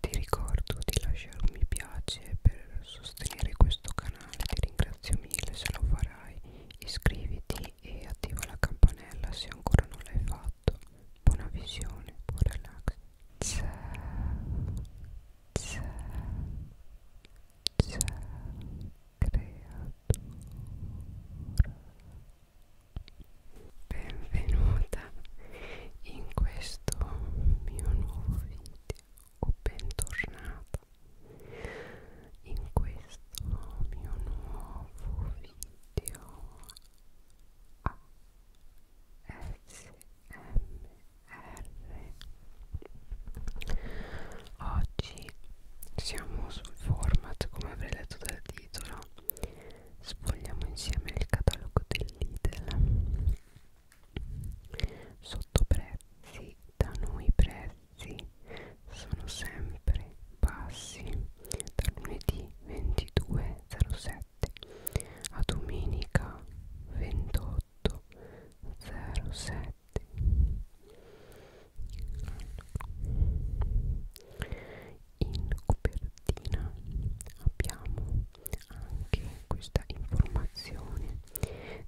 Ti ricordo di lasciare un mi piace per sostenere questo canale, ti ringrazio mille se lo farai, iscriviti e attiva la campanella se ancora non l'hai fatto. Buona visione, buon relax. Ciao, ciao, ciao, creatura benvenuta in questo mio nuovo video o bentornata in questo mio nuovo video a smr oggi siamo sul format come avrei letto dal titolo sfogliamo insieme il catalogo del Lidl sottoprezzi da noi i prezzi sono sempre bassi da lunedì 22.07 a domenica 28.07 allora in copertina abbiamo anche questa informazione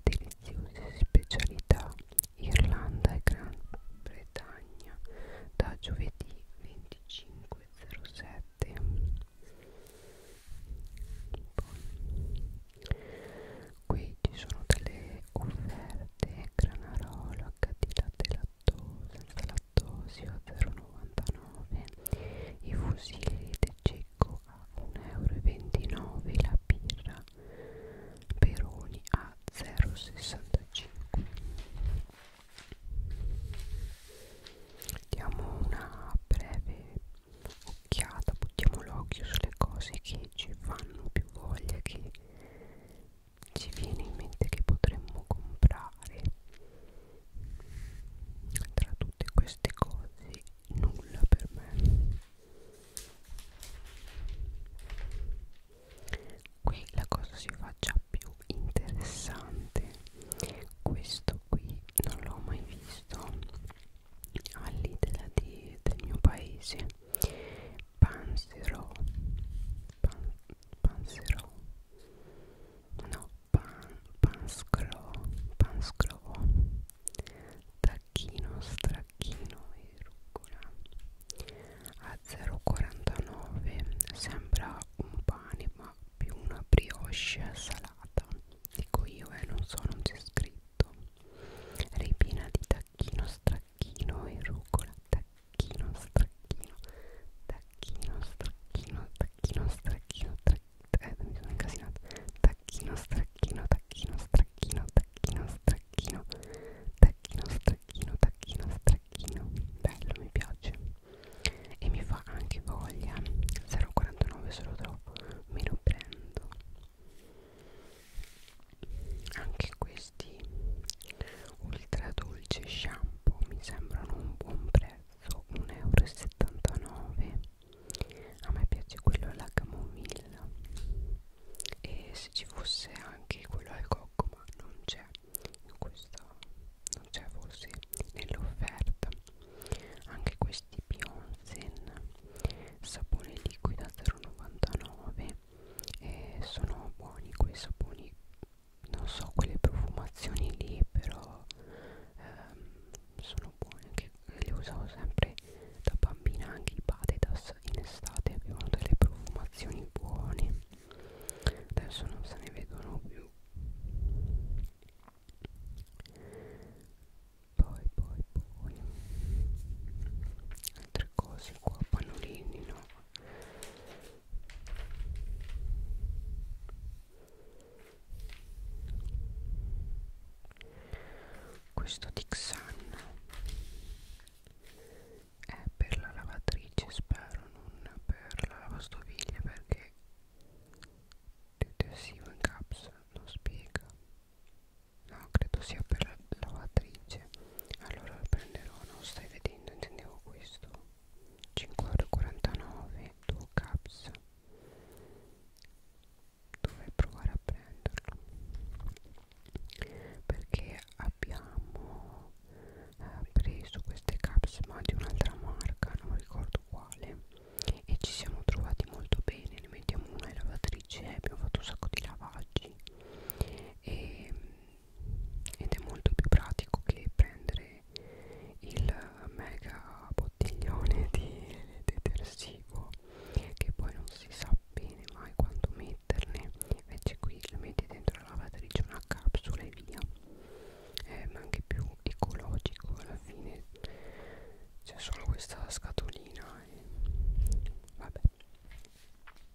deliziose specialità Irlanda e Gran Bretagna da giovedì 25.07 qui ci sono delle offerte granarola, HD latte lattosa, Tortosio a 0,99 i fusilli di Cecco a 1,29 euro la birra Peroni a 0,65 diamo una breve occhiata buttiamo l'occhio sulle cose che ci fanno più voglia che ci viene in mente che potremmo comprare tra tutte queste cose nulla per me qui la cosa si fa già più interessante questo qui non l'ho mai visto all'idea di, del mio paese panzerò pan, panzerò no pan, pansclo, pansclo, tacchino, stracchino e rucola a 0,49 sembra un pane ma più una brioche salata dico io e eh, non so non c'è scritto ripiena di tacchino, stracchino e rucola tacchino tacchino, stracchino, tacchino, stracchino, tacchino, stracchino, eh, mi sono incasinata, tacchino, stracchino, tacchino, stracchino, tacchino, stracchino, tacchino, stracchino, tacchino, stracchino, bello, mi piace e mi fa anche voglia, 0,49 se lo trovo, me lo prendo anche questi ultra dolce shampoo mi sembrano un buon prezzo 1,79 euro a me piace quello alla camomilla e se ci fosse anche quello al cocco ma non c'è in questo non c'è forse nell'offerta anche questi Bionzen sapone liquido a 0,99 e sono buoni quei saponi non so quelle profumazioni lì però ehm, sono buone anche le usavo sempre da bambina anche i Badedas in estate avevano delle profumazioni buone adesso non se ne vedono più poi poi poi altre cose qua pannolini no questo Dixan è per la lavatrice spero non per la lavastoviglie perché detersivo in caps non spiega no credo sia per la lavatrice allora lo prenderò non stai vedendo intendevo questo 5,49€ 2 caps dovrei provare a prenderlo perché abbiamo eh, preso queste caps ma di un'altra marca non ricordo quale e ci siamo trovati molto bene ne mettiamo una in lavatrice eh, abbiamo fatto un sacco di lavaggi e ed è molto più pratico che prendere il mega bottiglione di detersivo che poi non si sa bene mai quanto metterne invece qui lo metti dentro la lavatrice una capsula e via è anche più ecologico alla fine c'è solo questa scatolina e vabbè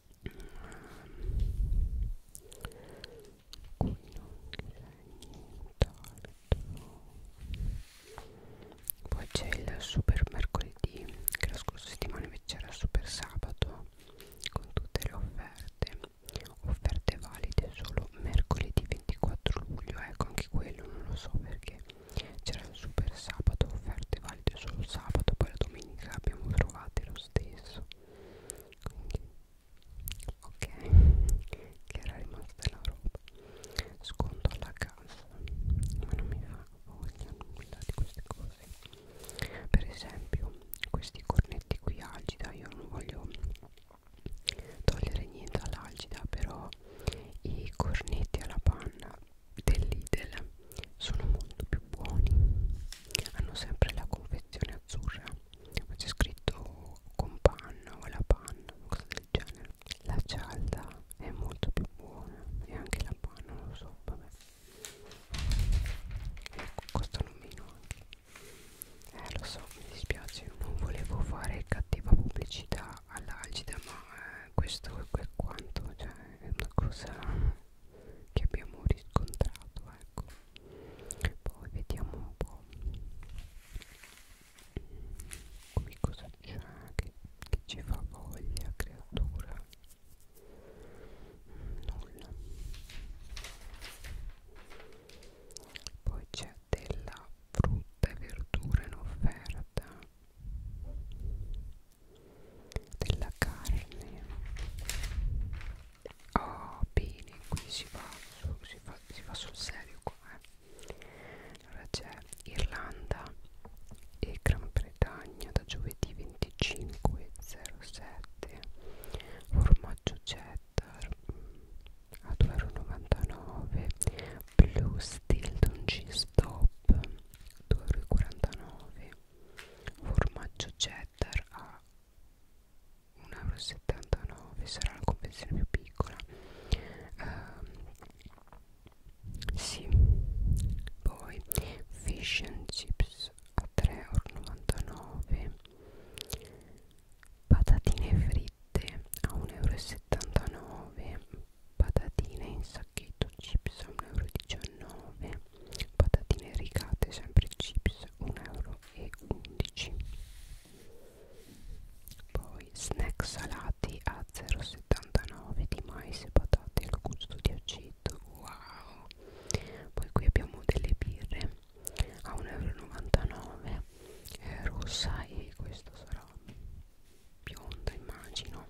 qui non c'è nient'altro poi c'è il super mercoledì che la scorsa settimana invece era il super sabato con tutte le offerte offerte valide solo mercoledì 24 luglio ecco anche quello non lo so perché c'era il super sabato offerte valide solo sabato poi la domenica abbiamo trovate lo stesso quindi ok che era rimasta la roba sconto alla casa ma non mi fa voglia nulla di queste cose per esempio questi cornetti qui algida io non voglio togliere niente all'algida però i cornetti alla panna dell'idel sono molto più buoni hanno sempre la confezione azzurra ma c'è scritto con panna o alla panna cosa del genere la cialda è molto più buona e anche la panna non lo so vabbè ecco costano meno anche eh lo so mi dispiace non volevo fare cattiva pubblicità all'algida ma eh, questo è quanto cioè è una cosa che abbiamo riscontrato ecco poi vediamo un po' qui cosa c'è che, che ci fa voglia creatura nulla poi c'è della frutta e verdura in offerta della carne oh bene qui si va, su, si, fa, si va sul serio qua eh. allora c'è Irlanda e Gran Bretagna da giovedì 25.07 formaggio cheddar mm, a 2,99 Blue Stilton Cheese Top 2,49 formaggio cheddar a 1,79 euro sarà la confezione più piccola uh, sì poi fish and chips a 3,99 euro patatine fritte a 1,79 euro patatine in sacchetto chips a 1,19 euro patatine rigate sempre chips 1,11 euro poi snack salati a 0,79 di mais e patate al gusto di aceto wow poi qui abbiamo delle birre a 1,99 euro eh, rossa e questa sarà bionda immagino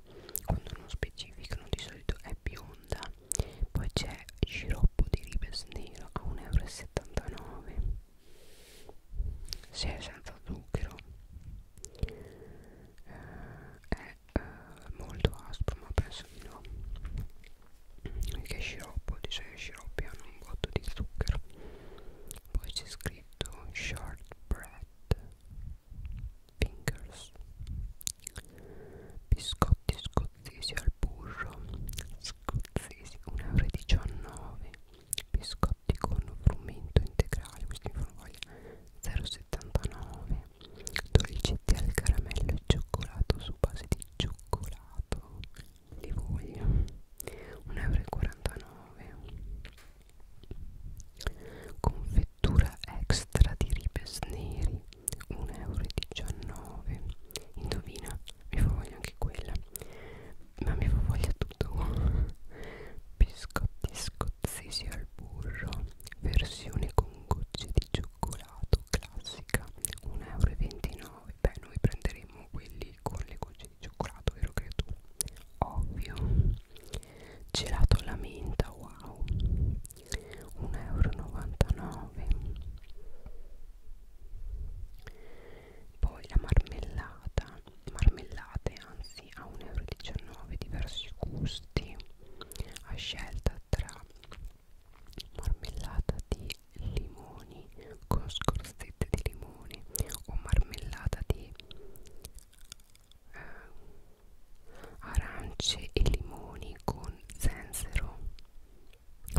quando non specificano di solito è è bionda poi c'è sciroppo di ribes nero a 1,79 euro se è senza zucchero eh, è eh, molto aspro ma penso di no mm, che sciroppo di solito i sciroppi hanno un botto di zucchero poi c'è scritto shortbread Fingers Biscotti scozzesi al burro Scozzesi 1,19 euro Biscotti con frumento integrale Questi in formaglia 0,79 Dolcetti al caramello e cioccolato su base di cioccolato Li voglio 1,49 euro Confetti fettura extra di ribes neri 1,19€ indovina mi fa voglia anche quella ma mi fa voglia tutto biscotti scozzesi al burro versione con gocce di cioccolato classica 1,29€ beh noi prenderemo quelli con le gocce di cioccolato vero creatura ovvio gelato alla menta wow 1,99 euro poi la marmellata marmellate anzi a 1,19 euro diversi gusti a scelta tra marmellata di limoni con scorzette di limone o marmellata di eh, arance e limoni con zenzero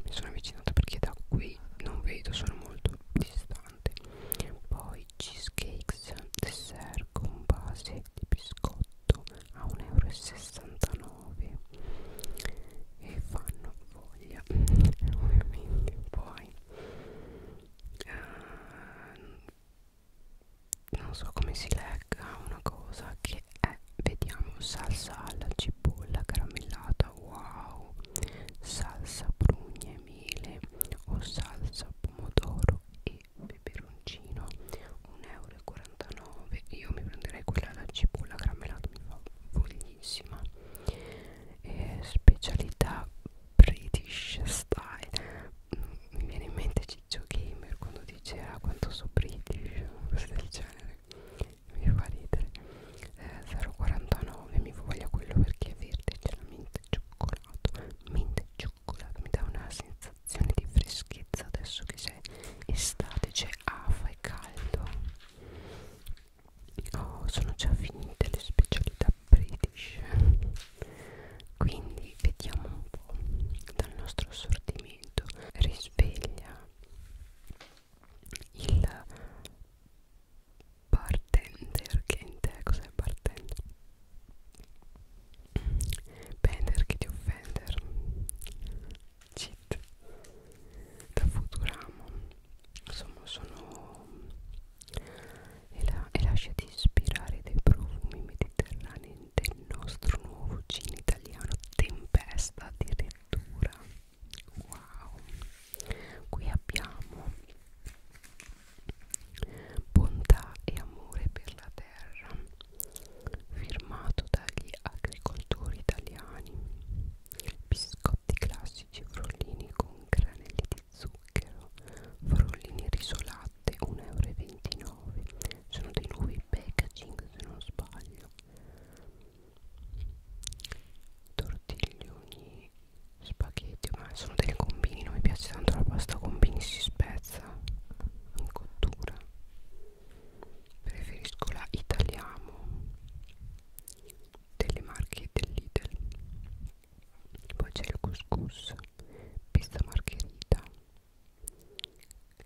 mi sono avvicinata perché da qui non vedo sono molto distante poi cheesecakes dessert con base di biscotto a 1,69 euro e fanno voglia ovviamente poi uh, non so come si legga una cosa che è vediamo salsa alla cipolla caramellata wow salsa prugne e mele o salsa pomodoro e peperoncino 1,49 euro io mi prenderei quella alla cipolla caramellata mi fa voglissima eh, specialità british style mi viene in mente Ciccio Gamer quando diceva ah, quanto so british cose del genere mi fa ridere eh, 0,49 mi voglia quello perché è verde c'è la mente cioccolato mente cioccolato mi dà una sensazione di freschezza adesso che c'è estate c'è afa e caldo oh sono già finite le specialità british quindi vediamo un po' dal nostro assortimento risveglia il bartender che in te cos'è bartender? Bender che ti offender cheat da Futuramo insomma sono e, la, e lasciati ispirare dai profumi mediterranei del nostro nuovo cine italiano Tempesta addirittura wow qui abbiamo bontà e amore per la terra firmato dagli agricoltori italiani biscotti classici frollini con granelli di zucchero, frollini risolatte 1,29 euro. Sono dei nuovi packaging se non sbaglio. Tortiglioni, spaghetti, ma sono delle combini, non mi piace tanto la pasta combini, si spezza in cottura. Preferisco la Italiamo delle marche dell'Idel poi c'è il couscous pizza margherita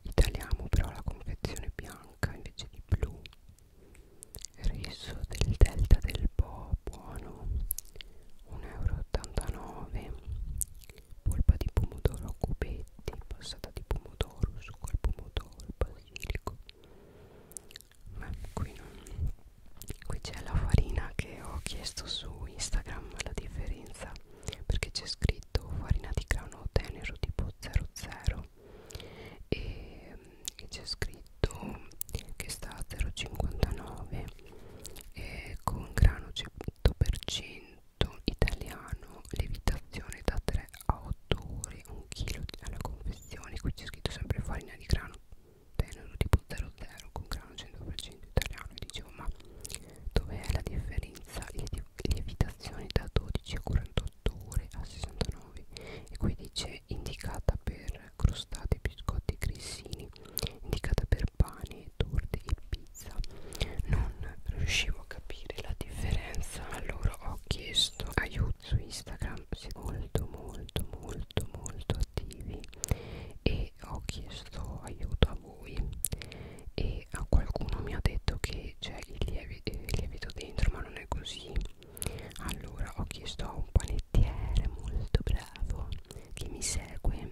italiamo però la confezione bianca invece di blu riso del delta del po buono 1,89 euro polpa di pomodoro a cubetti passata di pomodoro succo al pomodoro basilico ma qui non qui c'è la farina che ho chiesto su Instagram la differenza perché c'è scritto farina di grano tenero tipo 00 e, e c'è scritto che sta a 0,59 e con grano 100% italiano levitazione da 3 a 8 ore 1 kg alla confezione qui c'è scritto sempre farina di grano tenero tipo 00 con grano 100% italiano e dicevo ma dov'è la differenza lievitazione da 12 a 48 ore a 69 e qui dice indicata per crostate biscotti grissini indicata per pane torte e pizza non riuscivo a capire la differenza allora ho chiesto aiuto su instagram siete molto molto molto molto attivi e ho chiesto aiuto a voi e a qualcuno mi ha detto che c'è il lievi, eh, lievito dentro ma non è così allora ho chiesto a un panettiere molto bravo che mi segue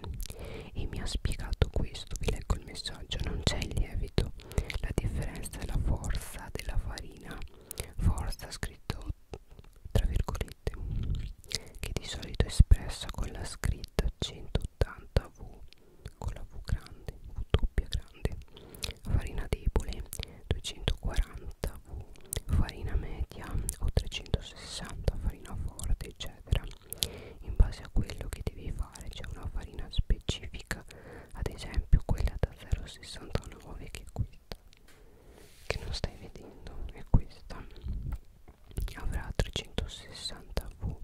e mi ha spiegato questo vi leggo il messaggio non c'è il lievito la differenza è la forza della farina forza scritto tra virgolette che di solito è espressa con la scritta 180V con la V grande, V doppia grande farina debole 240V farina media o 360 farina forte eccetera in base a quello che devi fare c'è una farina specifica ad esempio quella da 0,69 che è questa che non stai vedendo è questa avrà 360 V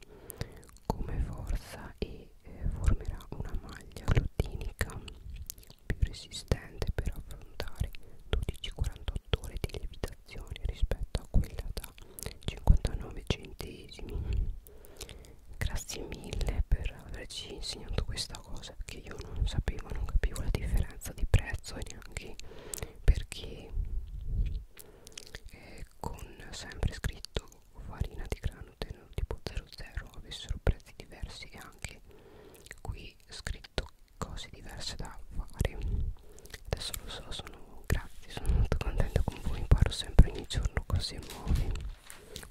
come forza e eh, formerà una maglia glutinica più resistente per affrontare 12-48 ore di lievitazione rispetto a quella da 59 centesimi grazie mille per averci insegnato questa cosa che io non sapevo non capivo la differenza di prezzo e neanche perché eh, con sempre scritto farina di grano tipo 00 avessero prezzi diversi e anche qui scritto cose diverse da fare adesso lo so sono grazie sono molto contenta con voi imparo sempre ogni giorno cose nuove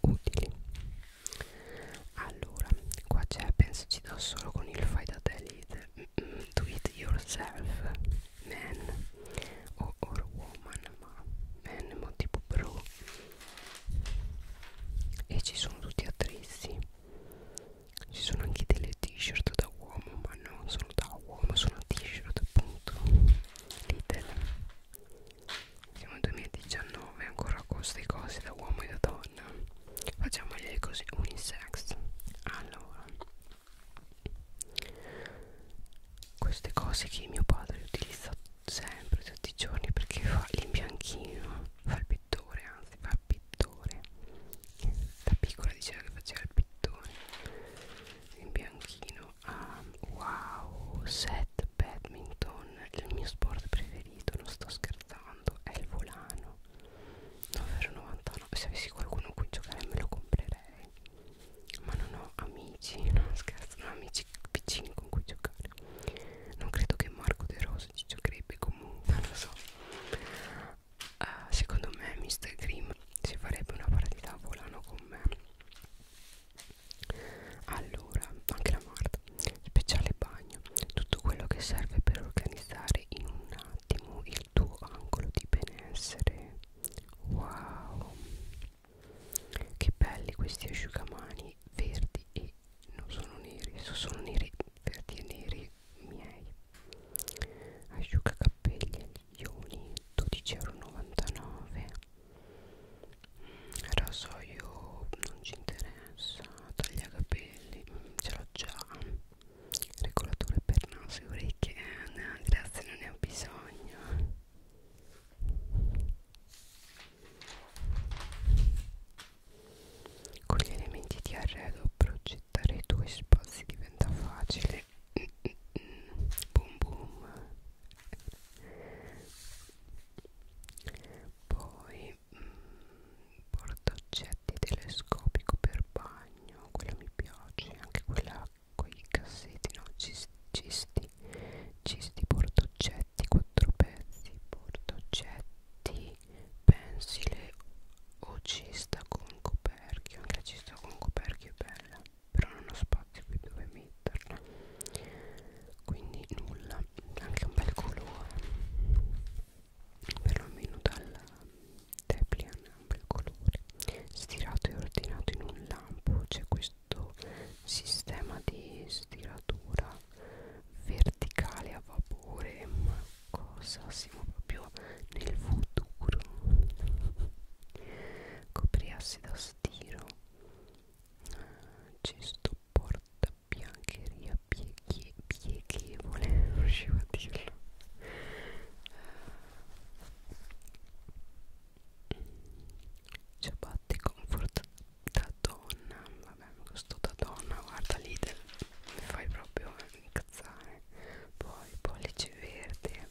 utili allora qua c'è pensaci da solo con il fai da te leader do it yourself man o or woman ma man ma tipo bro e ci sono tutti attrezzi ci sono anche delle t-shirt da uomo ma non sono da uomo sono t-shirt appunto Lidl siamo nel 2019 ancora a costo di cose da uomo e da donna donna facciamogli così unisex allora queste cose che mio padre utilizza sempre tutti i giorni perché fa l'imbianchino fa il pittore anzi fa il pittore da piccola diceva che faceva il pittore l'imbianchino um, wow set badminton il mio sport preferito non sto scherzando portando è il volano 9,99 se avessi qualcuno con cui giocare me lo comprerei ma non ho amici no scherzo non ho amici vicini con cui giocare non credo che Marco De Rosa ci giocherebbe comunque non lo so uh, secondo me Mr. Grimm si farebbe una partita a volano con me allora anche la Marta speciale bagno, tutto quello che serve per organizzare in un attimo il tuo angolo di benessere. Wow, che belli questi asciugamani verdi e non sono neri, sono neri verdi e neri miei. Asciugacapelli agli ioni 12,99 euro. Rasoio non ci interessa tagliacapelli mm, ce l'ho già regolatore per naso e orecchie eh, no, grazie non ne ho bisogno con gli elementi di arredo progettare i tuoi spazi diventa facile boom boom poi e mm, portaoggetti telescopico per bagno quella mi piace anche quella con i cassetti no cisti cisti portaoggetti quattro pezzi portaoggetti pensile o cesta con coperchio anche la cesta con coperchio è bella però non ho spazio qui dove metterla quindi nulla anche un bel colore perlomeno dal Deplian Amber colore stirato e ordinato in un lampo c'è questo sistema di stiratura verticale a vapore ma cosa siamo proprio nel futuro copriassi da stiro ah, cesto porta questa biancheria pieghe, pieghevole non riuscivo a dirlo eh, ciabatte comfort da donna vabbè questo da donna guarda l'idel mi fai proprio incazzare poi pollice verde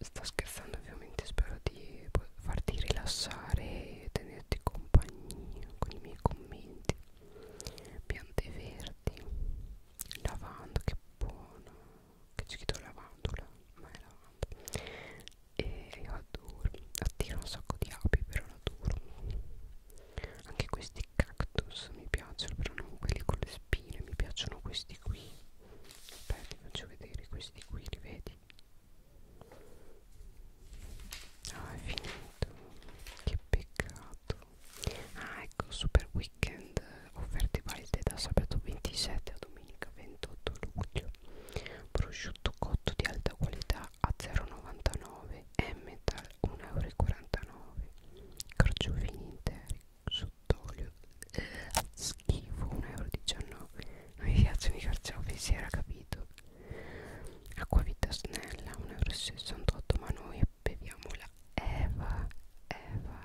sto scherzando ovviamente spero di farti rilassare e tenere farete compagnia con i miei commenti piante verdi lavanda che buona che c'è scritto lavandola ma è lavanda e io adoro attira un sacco di api però l'adoro anche questi cactus mi piacciono però non quelli con le spine mi piacciono questi qui Beh, ti faccio vedere questi qui li vedi Ah, è finito. Che peccato. Ah, ecco, super weekend. Eh, offerte valide da sabato 27 a domenica 28 luglio. Prosciutto cotto di alta qualità a 0,99 e metal 1,49 euro. Carciofini interi sott'olio. Eh, schifo 1,19 euro. Non mi piacciono i carciofi, si era capito. Acquavita snella 1,68 ma noi beviamo la Eva Eva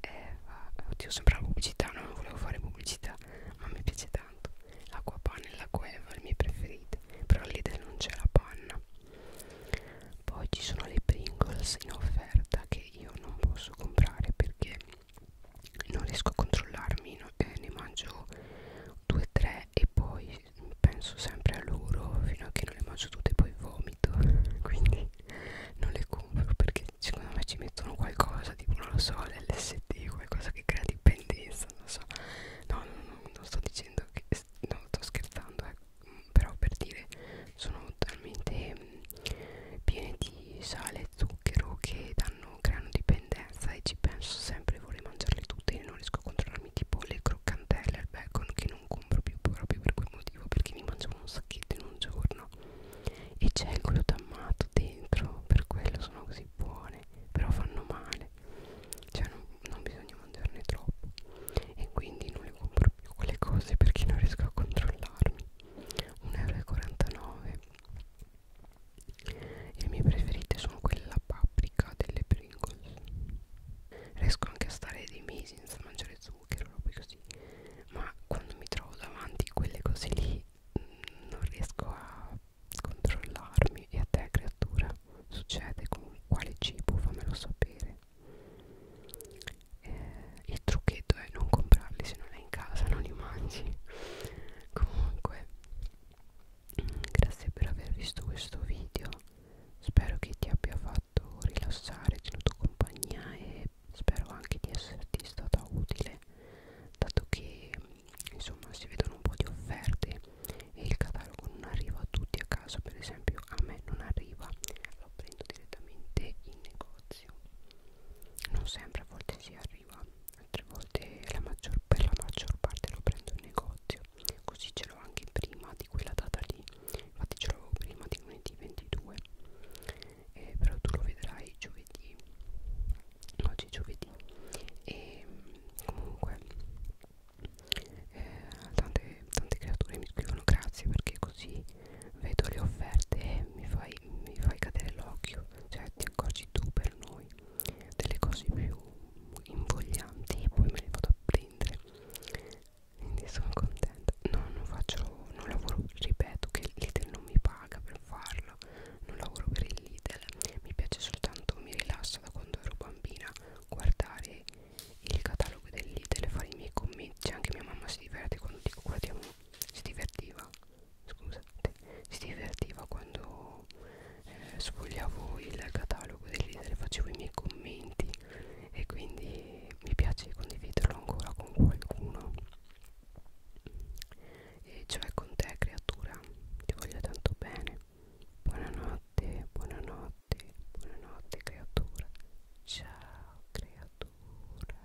Eva Oddio sembra pubblicità no? non volevo fare pubblicità ma mi piace tanto l'acqua panna e l'acqua Eva le mie preferite però lì non c'è la panna poi ci sono le Pringles in offerta che io non posso comprare perché non riesco a controllarmi no? eh, ne mangio 2 3 e poi penso sempre a loro fino a che non le mangio tutte e poi vomito quindi non le compro perché secondo me ci mettono qualcosa tipo non lo so l'LSD qualcosa che crea dipendenza non lo so no, no, no non sto dicendo che no sto scherzando eh. però per dire sono talmente mm, piene di sale e zucchero che danno, creano dipendenza e ci penso sempre vorrei mangiarle tutte e non riesco a controllarmi tipo le croccantelle al bacon che non compro più proprio per quel motivo perché mi mangio un sacchetto in un giorno e c'è il glutammato dentro per quello sono così buone però fanno male cioè non, non bisogna mangiarne troppo e quindi non le compro più quelle cose perché non riesco a controllarmi 1,49 euro le mie preferite sono quelle alla paprika delle Pringles. Riesco anche a stare dei mesi senza mangiare zucchero, robe così. Ma quando mi trovo davanti quelle cose lì mm, non riesco a controllarmi. E a te, creatura, succede con quale cibo? Fammelo sapere. Eh, il trucchetto è non comprarli se non è in casa, non li mangi. Comunque grazie per aver visto questo video spero che ti abbia fatto rilassare tenuto compagnia e spero anche di esserti stata utile dato che insomma si vedono un po' di offerte e il catalogo non arriva a tutti a casa per esempio a me non arriva lo prendo direttamente in negozio non sempre a volte si arriva altre volte la maggior, per la maggior parte lo prendo in negozio così ce l'ho anche prima di quella data lì infatti ce l'avevo prima di lunedì 22 eh, però tu lo vedrai giovedì oggi è giovedì e ehm, comunque eh, tante, tante creature mi scrivono grazie perché così vedo le offerte e mi fai, mi fai cadere l'occhio cioè ti accorgi tu per noi noi delle cose più invoglianti e poi me le vado a prendere quindi sono contenta no, non faccio non lavoro ripeto che il Lidl non mi paga per farlo non lavoro per il Lidl mi piace soltanto mi rilassa da quando ero bambina guardare il catalogo del Lidl e fare i miei commenti anche mia mamma si diverte quando dico guardiamo si divertiva scusate, si divertiva quando eh, sfogliavo il catalogo dei leader facevo i miei commenti e quindi mi piace condividerlo ancora con qualcuno e cioè con te creatura ti voglio tanto bene buonanotte buonanotte buonanotte creatura ciao creatura